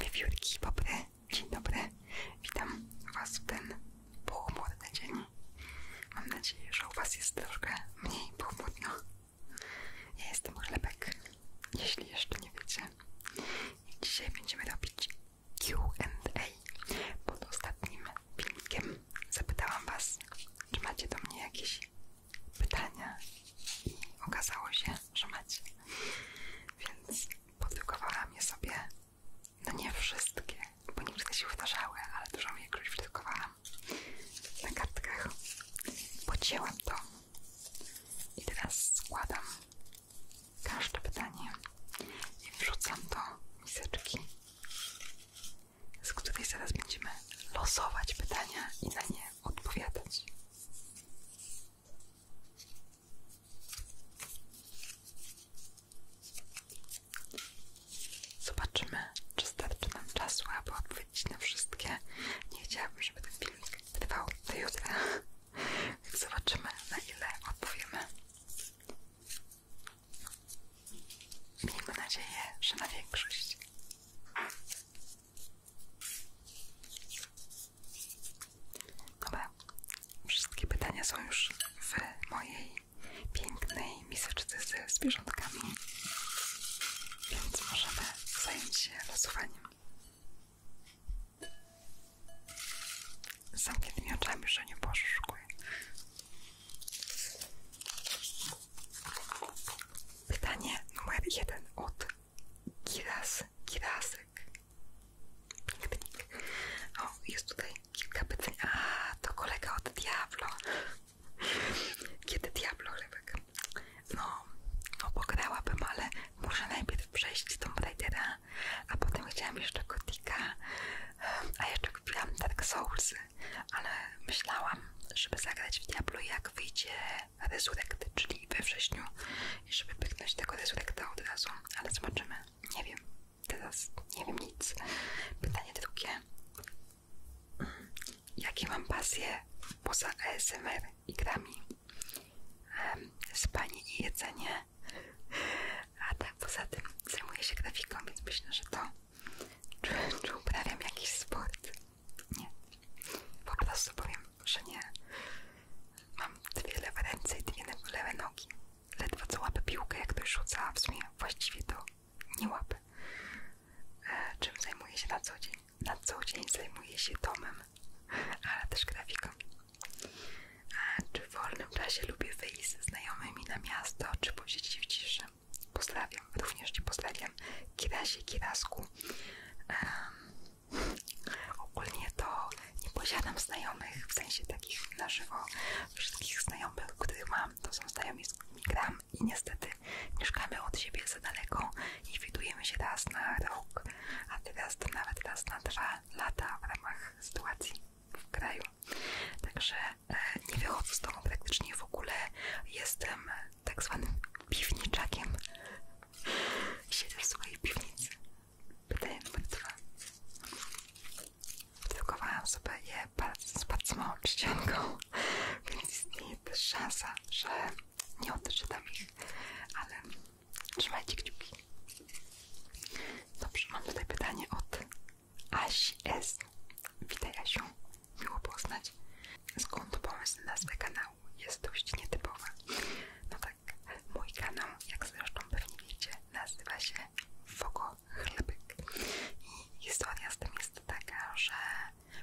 Wiewiórki, popry, dzień dobry. Witam Was w ten pochmurny dzień. Mam nadzieję, że u Was jest troszkę mniej pochmurno. Ja jestem Chlebek, jeśli jeszcze nie wiecie. I dzisiaj będziemy robić Q&A pod ostatnim filmikiem zapytałam Was, czy macie do mnie jakieś pytania i okazało się, że macie. Więc podtykowałam je sobie, no nie wszystkie, bo nie wszystkie się powtarzały, ale dużą większość wydrukowałam na kartkach. Pocięłam to i teraz składam każde pytanie i wrzucam do miseczki z której zaraz będziemy losować pytania i na nie odpowiadać. Zobaczymy, czy starczy nam czasu, aby odpowiedzieć na wszystkie. Nie chciałabym, żeby ten film trwał do jutra. Zobaczymy, na ile odpowiemy. Miejmy nadzieję, że na większość. Dobra, wszystkie pytania są już w mojej pięknej miseczce ze zwierzątkami, więc możemy zająć się losowaniem z zamkniętymi oczami, że nie poszukuję. Pytanie numer jeden od Giras Girasek. Piknik. O, jest tutaj kilka pytań. A, to kolega od Diablo. Kiedy Diablo chlebek? No, no pograłabym, ale muszę najpierw przejść Tomb Raidera a potem chciałam jeszcze Gotika, a jeszcze kupiłam Dark Soulsy, ale myślałam, żeby zagrać w Diablo jak wyjdzie Resurrect, czyli we wrześniu i żeby pyknąć tego Resurrecta od razu, ale zobaczymy, nie wiem, teraz nie wiem nic. Pytanie drugie, mhm. jakie mam pasje poza ASMR i grami? Spanie i jedzenie, A tak poza tym zajmuję się grafiką, więc myślę, że to czy, czy uprawiam jakiś sport? Nie. Po prostu powiem, że nie. Mam dwie lewe ręce i dwie lewe nogi. Ledwo co łapę piłkę, jak ktoś rzuca, w sumie właściwie to nie łapę. E, czym zajmuję się na co dzień? Na co dzień zajmuję się domem, ale też grafiką czy w wolnym czasie lubię wyjść ze znajomymi na miasto, czy posiedzieć w ciszy? Pozdrawiam, również nie pozdrawiam. Kirasie, Kirasku. ogólnie to nie posiadam znajomych, w sensie takich na żywo. Wszystkich znajomych, których mam, to są znajomi z gram i niestety mieszkamy od siebie za daleko i widujemy się raz na rok, a teraz to nawet raz na dwa lata w ramach sytuacji w kraju. Także e, nie wychodzę z tobą praktycznie w ogóle. Jestem tak zwanym piwniczakiem. Siedzę w swojej piwnicy. Pytanie numer dwa. Wydrukowałam sobie je bardzo, z bardzo małą czcionką, więc istnieje też szansa, że nie odczytam ich, ale trzymajcie kciuki. Dobrze, mam tutaj pytanie od Asi S. Witaj Asiu, miło poznać. Skąd pomysł na nazwę kanału? Jest dość nietypowa. No tak, mój kanał, jak zresztą pewnie wiecie, nazywa się Fogo I historia z tym jest taka, że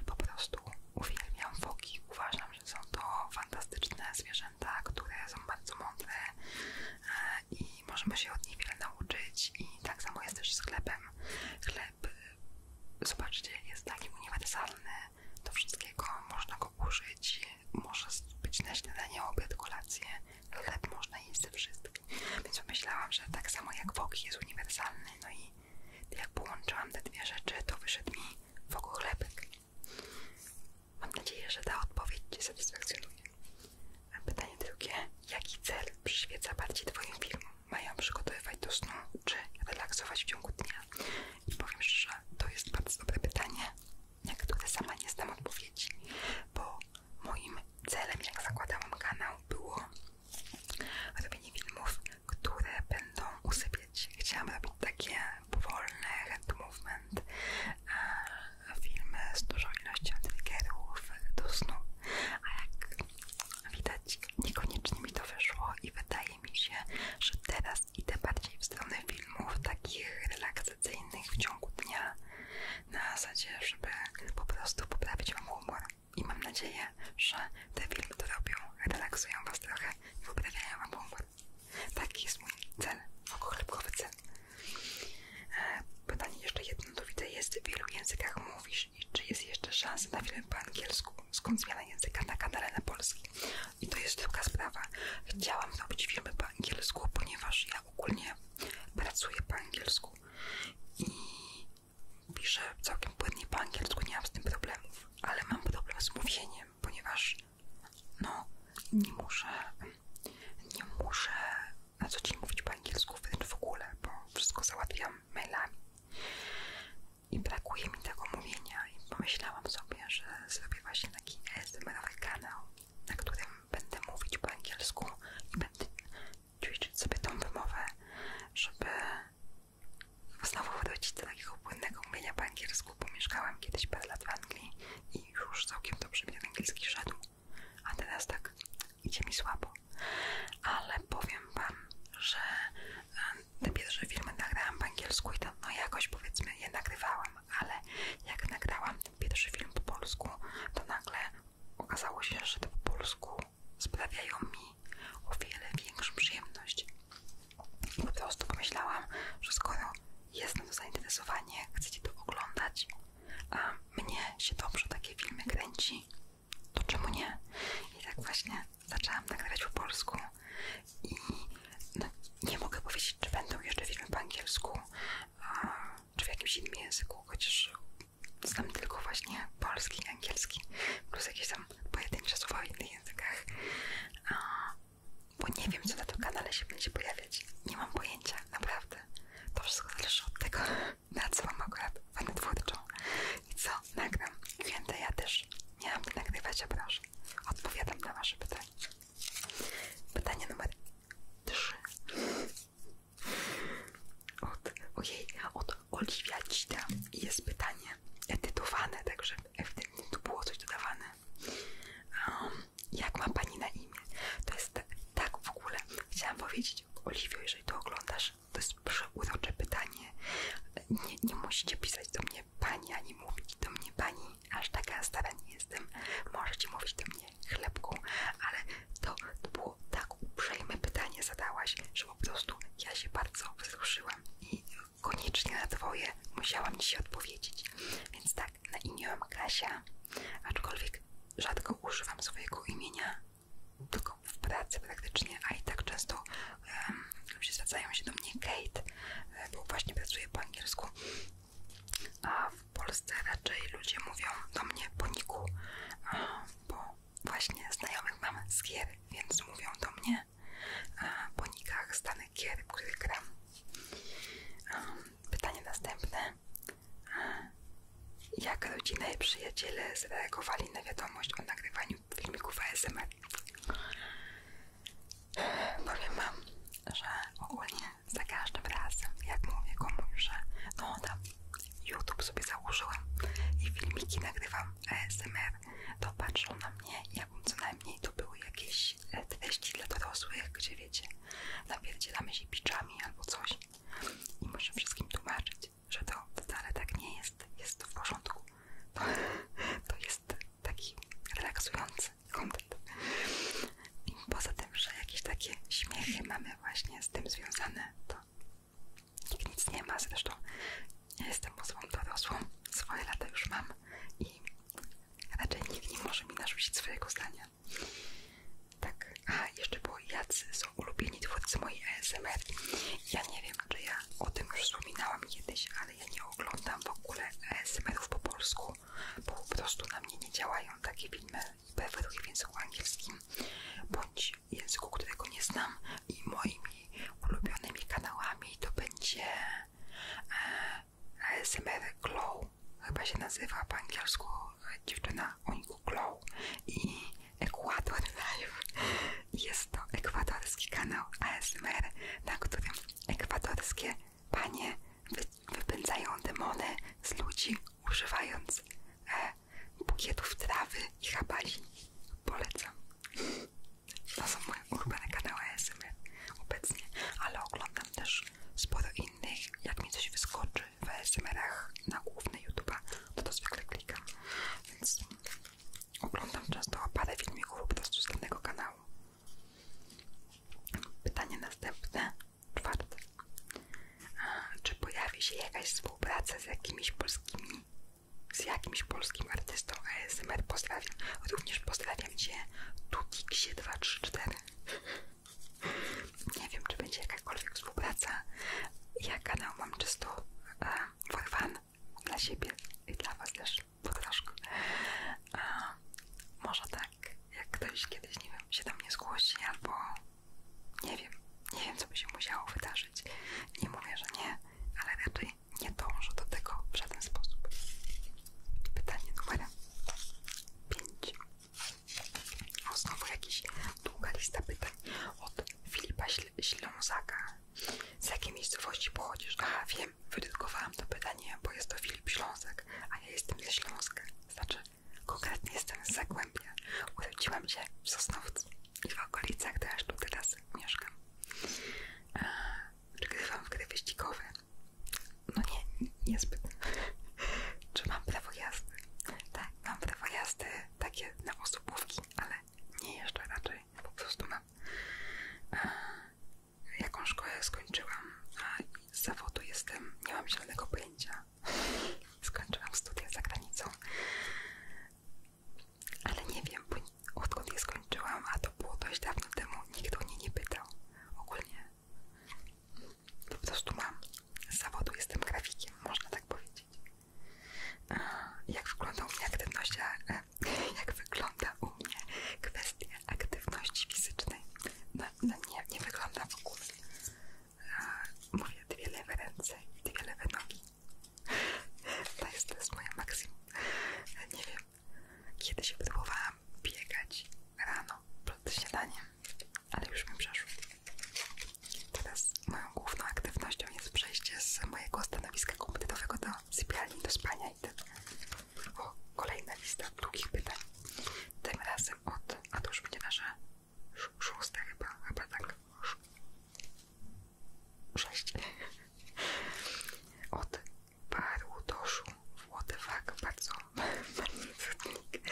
po prostu uwielbiam foki. Uważam, że są to fantastyczne zwierzęta, które są bardzo mądre e, i możemy się od niej wiele nauczyć i tak samo jest też z chlebem Chleb, zobaczcie, jest taki uniwersalny do wszystkiego, można go użyć, może być na śniadanie, obiad, kolację, chleb można jeść ze wszystkim. Więc myślałam, że tak samo jak woki jest uniwersalny, no i jak połączyłam te dwie rzeczy, to wyszedł mi wokół chlebek. Mam nadzieję, że ta odpowiedź Cię satysfakcjonuje. A pytanie drugie. Jaki cel przyświeca bardziej Twoim filmom? Mają przygotowywać do snu, czy relaksować w ciągu dnia? I powiem szczerze, to jest bardzo dobre pytanie, na które sama nie znam odpowiedzi, bo moim celem, jak zakładałam kanał, było robienie filmów, które będą usypiać. Chciałam robić takie powolne, hand movement, e, filmy z dużą ilością triggerów do snu, a jak widać niekoniecznie mi to wyszło i wydaje mi się, że teraz idę bardziej w stronę filmów takich relaksacyjnych w ciągu dnia na zasadzie, żeby po prostu poprawić Wam humor i mam nadzieję, że te filmy, które robią, relaksują Was trochę i poprawiają Wam humor. Taki jest mój cel, okochlepkowy cel. E, pytanie jeszcze jedno do widzę jest, w wielu językach mówisz i czy jest jeszcze szansa na filmy po angielsku? Skąd zmiana języka na kanale na polski? I to jest druga sprawa. Chciałam zrobić filmy po angielsku, ponieważ ja ogólnie pracuję po angielsku i piszę całkiem płynnie po angielsku, nie mam z tym problemów, ale mam problem z mówieniem tym, ponieważ no, nie muszę, nie muszę na co dzień mówić po angielsku wręcz w ogóle, bo wszystko załatwiam mailami. I brakuje mi tego mówienia i pomyślałam sobie, że zrobię właśnie taki asmr kanał, na którym będę mówić po angielsku i będę ćwiczyć sobie tą wymowę, żeby znowu wrócić do takiego płynnego mówienia po angielsku, bo mieszkałam kiedyś parę lat w Anglii i już całkiem dobrze mi ten angielski szedł, a teraz tak idzie mi słabo. Ale powiem Wam, że e, te pierwsze filmy nagrałam po angielsku i to no jakoś powiedzmy je nagrywałam, ale jak nagrałam pierwszy film po polsku, to nagle okazało się, że te po polsku sprawiają mi o wiele większą przyjemność. I po prostu pomyślałam, że skoro jest nim zainteresowanie, chcecie to oglądać, a mnie się dobrze takie filmy kręci, to czemu nie? I tak właśnie zaczęłam nagrywać tak po polsku i no, nie mogę powiedzieć, czy będą jeszcze filmy po angielsku, a, czy w jakimś innym języku, chociaż znam tylko właśnie polski i angielski, plus jakieś tam pojedyncze słowa w innych językach. Bo nie wiem, co na tym kanale się będzie pojawiać. Nie mam pojęcia, naprawdę. To wszystko zależy od tego, na co mam akurat Wam twórczą. I co? Nagram. Klientę ja też. Nie mam nagrywać, a proszę. Odpowiadam na wasze pytanie. Pytanie numer 3. Od, od Oliwia Cida. I jest pytanie edytowane, także żeby w było coś dodawane. Um, jak ma Pani na imię? To jest tak w ogóle. Chciałam powiedzieć, Oliwio, jeżeli to oglądasz, to jest przeurocze pytanie. Nie, nie musicie pisać do mnie Pani, ani mówić do mnie Pani, aż taka stara nie jestem. Możecie mówić do mnie chlebką, ale to, było tak uprzejme pytanie zadałaś, że po prostu ja się bardzo wzruszyłam i koniecznie na dwoje musiałam Ci odpowiedzieć. Więc tak, na imię mam Kasia, aczkolwiek rzadko używam swojego imienia, tylko w pracy praktycznie, a i tak często um, ludzie zwracają się do mnie Kate, e, bo właśnie pracuję po angielsku, a w Polsce raczej ludzie mówią do mnie Boniku, bo właśnie znajomych mam z gier, więc mówią do mnie Bonikach z danych gier, w których gram. Pytanie następne. Jak rodzina i przyjaciele zareagowali na wiadomość o nagrywaniu filmików ASMR? Powiem Wam, że ogólnie za każdym razem, jak mówię komuś, że no tam YouTube sobie założyłam i filmiki nagrywam ASMR, to patrzą na mnie, ja bym co najmniej to były jakieś e, treści dla dorosłych, gdzie wiecie, napierdzielamy się piczami albo coś i muszę wszystkim tłumaczyć, że to wcale tak nie jest, jest w porządku. To, jest taki relaksujący kontent. I poza tym, że jakieś takie śmiechy mamy właśnie z tym związane, to nikt nic nie ma. Zresztą ja jestem osobą dorosłą, swoje lata już mam i Raczej nikt nie może mi narzucić swojego zdania. Tak, a jeszcze było jacy są ulubieni twórcy mojej ASMR. Ja nie wiem, czy ja o tym już wspominałam kiedyś, ale ja nie oglądam w ogóle ASMR-ów po polsku, bo po prostu na mnie nie działają takie filmy preferuję w języku angielskim bądź języku, którego nie znam i moimi ulubionymi kanałami to będzie e, ASMR Glow, chyba się nazywa po angielsku e, dziewczyna Uniku Glow i Ecuador Live. Jest to ekwadorski kanał ASMR, na którym ekwadorskie panie wypędzają demony z ludzi, używając e, bukietów trawy i habali. Polecam. To są moje ulubione kanały ASMR obecnie, ale oglądam też sporo innych. Jak mi coś wyskoczy w ASMR-ach na główny YouTube'a, to to zwykle klikam. Więc oglądam często parę filmików po prostu z danego kanału. Pytanie następne, czwarte. czy pojawi się jakaś współpraca z jakimiś polskimi, z jakimś polskim artystą? to ASMR pozdrawiam. Również pozdrawiam Cię Tutiksie234. Nie wiem, czy będzie jakakolwiek współpraca. Ja kanał mam czysto e, for dla siebie i dla Was też po troszkę. E, może tak, jak ktoś kiedyś, nie wiem, się do mnie zgłosi albo nie wiem, nie wiem co by się musiało wydarzyć. Nie mówię, że nie, ale raczej głowie. Nie dążę do tego w żaden sposób. Pytanie numer 5. O, znowu jakaś długa lista pytań od Filipa Ślązaka. Z jakiej miejscowości pochodzisz? Aha, wiem, wydrukowałam to pytanie, bo jest to Filip Ślązak, a ja jestem ze Śląska. Znaczy, konkretnie jestem z Zagłębia. Urodziłam się w Sosnowcu i w okolicach też tu teraz mieszkam. E, Grywam w gry wyścigowe. No nie, niezbyt. Czy mam prawo jazdy? Tak, mam prawo jazdy takie na osobówki, ale nie jeszcze raczej. Po prostu mam. E, jaką szkołę skończyłam, a z zawodu jestem, nie mam zielonego pojęcia. Skończyłam studia za granicą. Ale nie wiem, bo odkąd je skończyłam, a to było dość dawno temu, nikt o mnie nie pytał. Ogólnie to po prostu mam. Z zawodu jestem grafikiem, można tak powiedzieć. E, jak wygląda u mnie aktywność, e, jak wygląda u mnie kwestia aktywności fizycznej? No, no nie, nie wygląda w ogóle. E, mówię dwie lewe ręce i dwie lewe nogi. To jest, to moje maksimum. Nie wiem, kiedy się próbowałam biegać rano przed śniadaniem, ale już mi przeszło. Teraz moją główną aktywnością jest przejście z mojego stanowiska komputerowego do sypialni, do spania i ten. O, kolejna lista długich pytań. Tym razem od, a to już będzie nasza szósta chyba, chyba tak, 6. Od paru doszu Włodywak bardzo magnificentnik.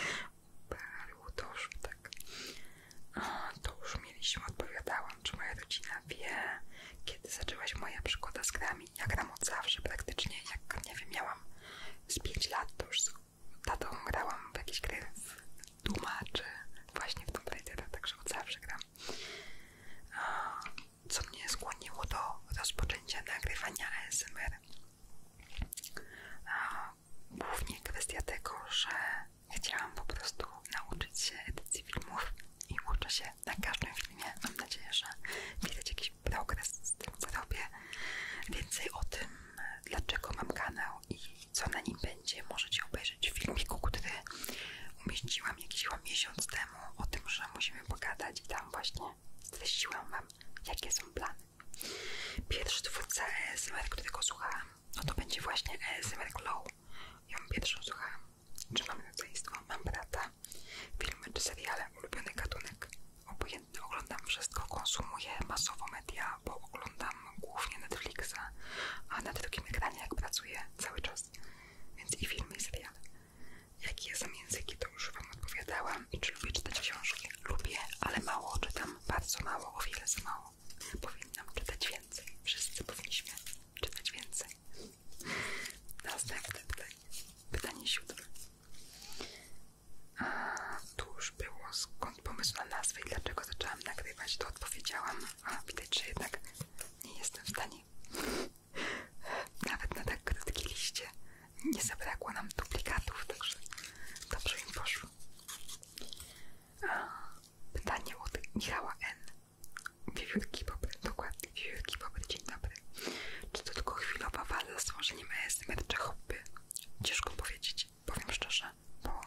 Paru doszu, tak. A, to już mieliśmy, odpowiadałam, czy moja rodzina wie, kiedy zaczęłaś moja przygoda z grami. Ja gram od zawsze praktycznie, jak nie wiem, miałam z 5 lat, to już z tatą grałam w jakieś gry w Duma, czy właśnie w Tomb Raidera, także od zawsze gram co mnie skłoniło do rozpoczęcia nagrywania ASMR. Głównie kwestia tego, że chciałam po prostu nauczyć się edycji filmów i uczę się na każdym filmie. Mam nadzieję, że widać jakiś progres z tym, co robię. Więcej o tym, dlaczego mam kanał i co na nim będzie, możecie obejrzeć w filmiku, który umieściłam mówiłam jakiś miesiąc temu o tym, że musimy pogadać i tam właśnie streściłam mam jakie są plany. Pierwszy twórca ASMR, e tylko słuchałam, no to będzie właśnie ASMR e Glow. Ja pierwszą słuchałam. Czy mam rodzeństwo, mam brata, filmy czy seriale, ulubiony gatunek. Obojętnie oglądam wszystko, konsumuję masowo media, bo oglądam głównie Netflixa, a na drugim ekranie jak pracuję cały czas więc i filmy, i seriale. Jakie są języki, to już Wam odpowiadałam. I czy lubię czytać książki? Lubię, ale mało czytam, bardzo mało, o wiele za mało. Powinnam czytać więcej. Wszyscy powinniśmy czytać więcej. Następne pytanie. Pytanie siódme. A, tu już było skąd pomysł na nazwę i dlaczego zaczęłam nagrywać, to odpowiedziałam. A, widać, że jednak nie jestem w stanie. Nawet na tak krótkie liście nie zabrakło nam duplikatów, także dobrze im poszło. pytanie od Michała N. Wiewiórki Bobry, dokładnie, Wiewiórki Bobry, dzień dobry. Czy to tylko chwilowa wada z tworzeniem ASMR czy hobby? Ciężko powiedzieć, powiem szczerze, bo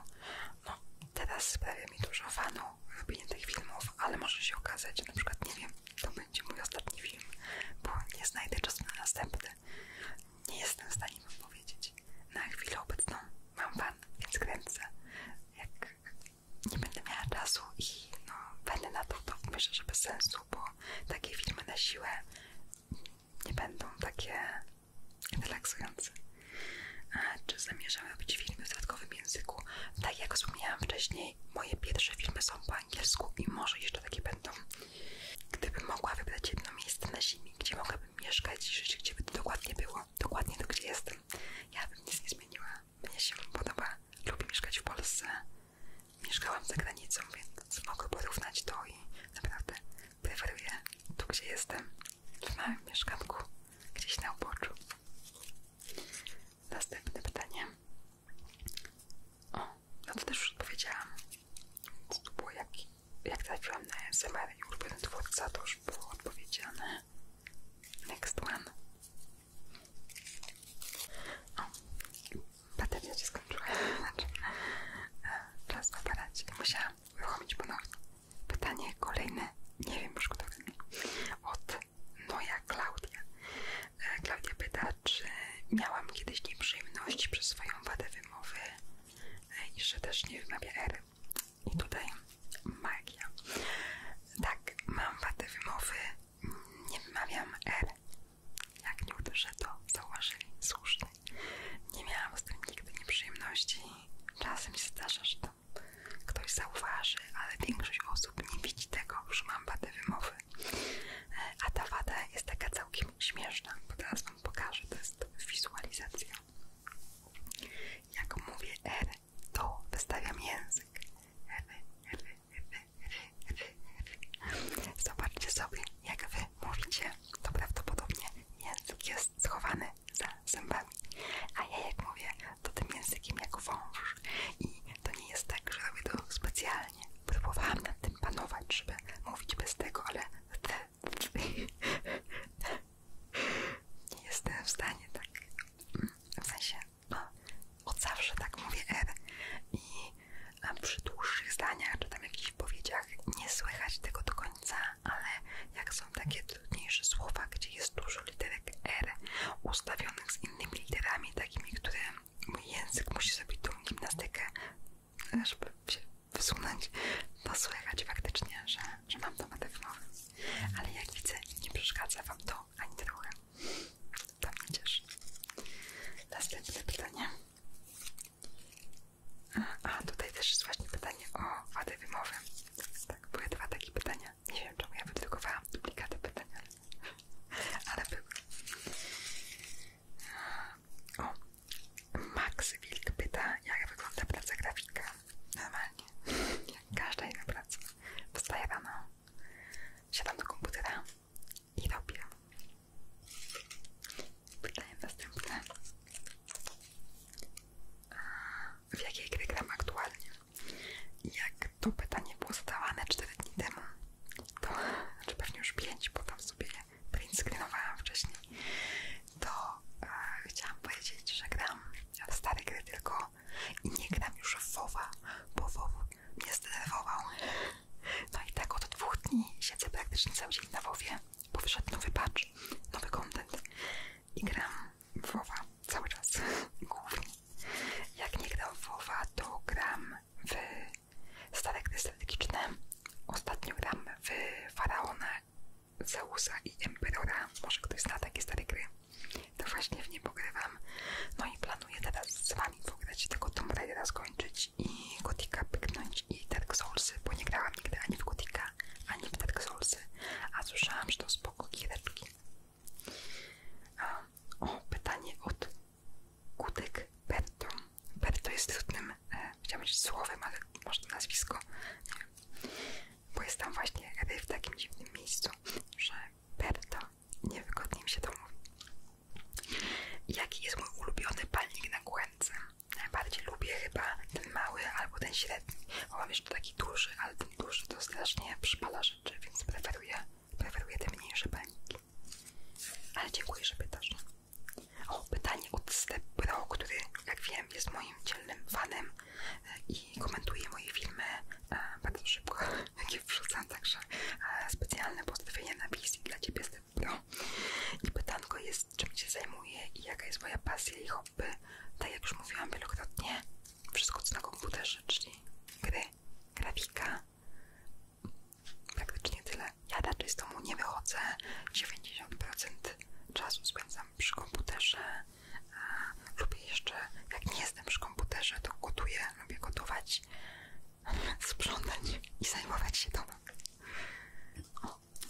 no, teraz prawie mi dużo fanu wybitnych filmów, ale może się okazać, na przykład, nie wiem, to będzie mój ostatni film, bo nie znajdę czasu na następny. Nie jestem w stanie wam powiedzieć. Na chwilę obecną mam fan, więc kręcę. Jak nie będę miała czasu i no, będę na to, to myślę, że bez sensu, bo takie filmy na siłę nie będą takie relaksujące. E, czy zamierzam robić filmy w dodatkowym języku. Tak jak wspomniałam wcześniej, moje pierwsze filmy są po angielsku i może jeszcze takie będą. Gdybym mogła wybrać jedno miejsce na ziemi, gdzie mogłabym mieszkać i żyć, gdzie by to dokładnie było, dokładnie to gdzie jestem, ja bym nic nie zmieniła. Mnie się podoba, lubię mieszkać w Polsce. Mieszkałam za granicą, więc mogę porównać to i naprawdę preferuję tu, gdzie jestem w małym mieszkanku, gdzieś na uboczu. Następne pytanie. O, no to też już odpowiedziałam. Więc to było jak, jak trafiłam na SMR i ulubiony twórca, to już było odpowiedziane. Next one. O, bateria się skończyła. Znaczy, czas w Musiałam uruchomić ponownie. Pytanie kolejne, nie wiem już kto to jest, od Noja Klaudia. E, Klaudia pyta, czy miałam kiedyś nieprzyjemności przez swoją wadę wymowy e, i że też nie wymawia R. I tutaj magia. Tak, mam wadę wymowy, nie wymawiam R. Jak nie uderzę, to zauważyli słusznie. Nie miałam z tym nigdy nieprzyjemności. Czasem się zdarza, że to ktoś zauważy, ale większość osób nie widzi tego, że mam wadę wymowy. E, a ta wada jest taka całkiem śmieszna, bo teraz Wam pokażę, to jest wizualizacja. Jak mówię R, to wystawiam język. R, R, R, R, R. Zobaczcie sobie, jak Wy mówicie, to prawdopodobnie język jest schowany związane zębami. A ja jak mówię, to tym językiem jak wąż. I to nie jest tak, że robię to specjalnie. Próbowałam nad tym panować, żeby mówić bez tego, ale nie jestem w stanie tak. W sensie, no, od zawsze tak mówię R. I przy dłuższych zdaniach, czy tam jakichś powiedziach nie słychać tego do końca ale jak są takie trudniejsze słowa, gdzie jest dużo literek R ustawionych z innymi literami, takimi, które mój język musi zrobić tą gimnastykę, żeby się wysunąć, to słychać faktycznie, że, że mam tomatę wymowy. Ale jak widzę, nie przeszkadza Wam to ani trochę. To mnie cieszy. Następne pytanie. A, a tutaj też jest właśnie pytanie o wadę wymowy. Tak, były dwa takie pytania. Nie wiem, czemu ja wydrukowałam duplikatę pytania, ale były. O, Max Wilk pyta, jak wygląda praca grafika. Normalnie, jak każda inna praca. Wstaję rano, siadam do komputera i robię. Pytanie następne w jakiej gry gram aktualnie. Jak to pytanie było zadawane 4 dni temu, to, czy pewnie już 5, bo tam sobie print screenowałam wcześniej, to e, chciałam powiedzieć, że gram w stare gry tylko i nie gram już w WoWa, bo WoW mnie zdenerwował. No i tak od dwóch dni siedzę praktycznie cały dzień na WoWie, bo wyszedł nowy patch, nowy content i gram w WoWa cały czas, głównie. Jak nie gram w WoWa, to gram w stare gry strategiczne. Ostatnio gram w Faraona, Zeusa i Emperora. Może ktoś zna takie stare gry. To właśnie w nie pogrywam. No i planuję teraz z wami pograć tego Tomb Raidera skończyć i Gotika pyknąć i Dark Soulsy, bo nie grałam nigdy ani w Gotika, ani w Dark Souls a słyszałam, że to spoko giereczki. O, pytanie od Kutek Berto. Berto jest trudnym, e, chciałam powiedzieć słowem, ale może to nazwisko, nie wiem. Bo jest tam właśnie w takim dziwnym miejscu, że Berto niewygodnie mi się to mówi. Jaki jest mój ulubiony palnik na kłęce? Najbardziej lubię chyba ten mały albo ten średni. Bo mam jeszcze taki duży, ale ten duży to strasznie przypala rzeczy, więc preferuję, preferuję te mniejsze paniki. Ale dziękuję, że pytasz. O, pytanie od Step Pro, który jak wiem jest moim dzielnym fanem e, i komentuje moje filmy e, bardzo szybko, jakie wrzucam, także e, specjalne pozdrowienie na wizji dla Ciebie Step Pro. I pytanko jest, czym się zajmuję i jaka jest moja pasja miałby, tak jak już mówiłam wielokrotnie, wszystko co na komputerze, czyli gry, grafika, praktycznie tyle. Ja raczej z domu nie wychodzę, 90% czasu spędzam przy komputerze. Lubię jeszcze, jak nie jestem przy komputerze, to gotuję, lubię gotować, sprzątać i zajmować się domem.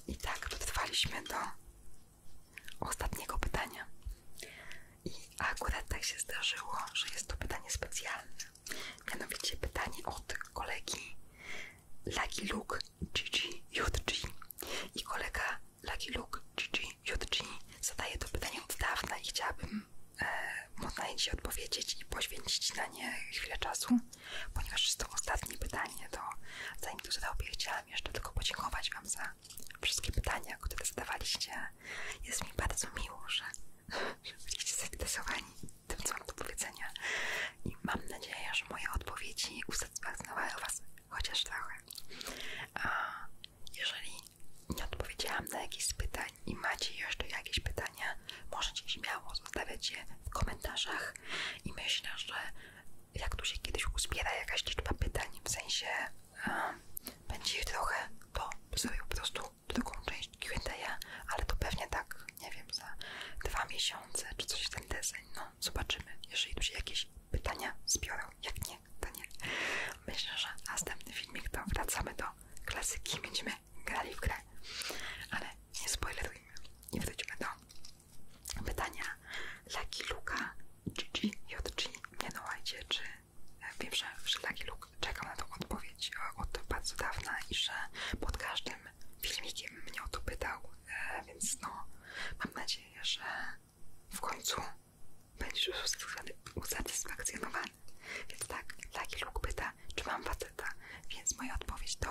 I tak dotrwaliśmy do ostatniego pytania. I akurat tak się zdarzyło, że jest to pytanie specjalne. Mianowicie pytanie od kolegi Lucky Luke GGJG. I kolega Lucky Luke GGJG zadaje to pytanie od dawna i chciałabym e, móc na odpowiedzieć i poświęcić na nie chwilę czasu. Ponieważ jest to ostatnie pytanie, to zanim to zadałbym, chciałam jeszcze tylko podziękować Wam za wszystkie pytania, które zadawaliście. Jest mi bardzo miło, że, że byliście zainteresowani tym, co mam do powiedzenia. I mam nadzieję, że moje odpowiedzi usatysfakcjonowały Was chociaż trochę. A jeżeli nie odpowiedziałam na jakieś z pytań i macie jeszcze jakieś pytania, możecie śmiało zostawiać je w komentarzach i myślę, że jak tu się kiedyś uzbiera jakaś liczba pytań, w sensie będzie ich trochę, to sobie po prostu drugą część Q&A, ale to pewnie tak, nie wiem, za dwa miesiące czy coś w ten desen, no zobaczymy, jeżeli tu się jakieś pytania zbiorą, jak nie, to nie. Myślę, że następny filmik to wracamy do klasyki, będziemy grali w grę, ale nie spoilerujmy nie wróćmy do pytania Lucky Luka GG, JG, nie dołajcie, no, czy e, wiem, że, że Lucky Luke czekam na tą odpowiedź e, od bardzo dawna i że pod każdym filmikiem mnie o to pytał, e, więc no mam nadzieję, że w końcu będziesz już usatysfakcjonowany. Więc tak, Lucky Luke pyta, czy mam faceta, więc moja odpowiedź to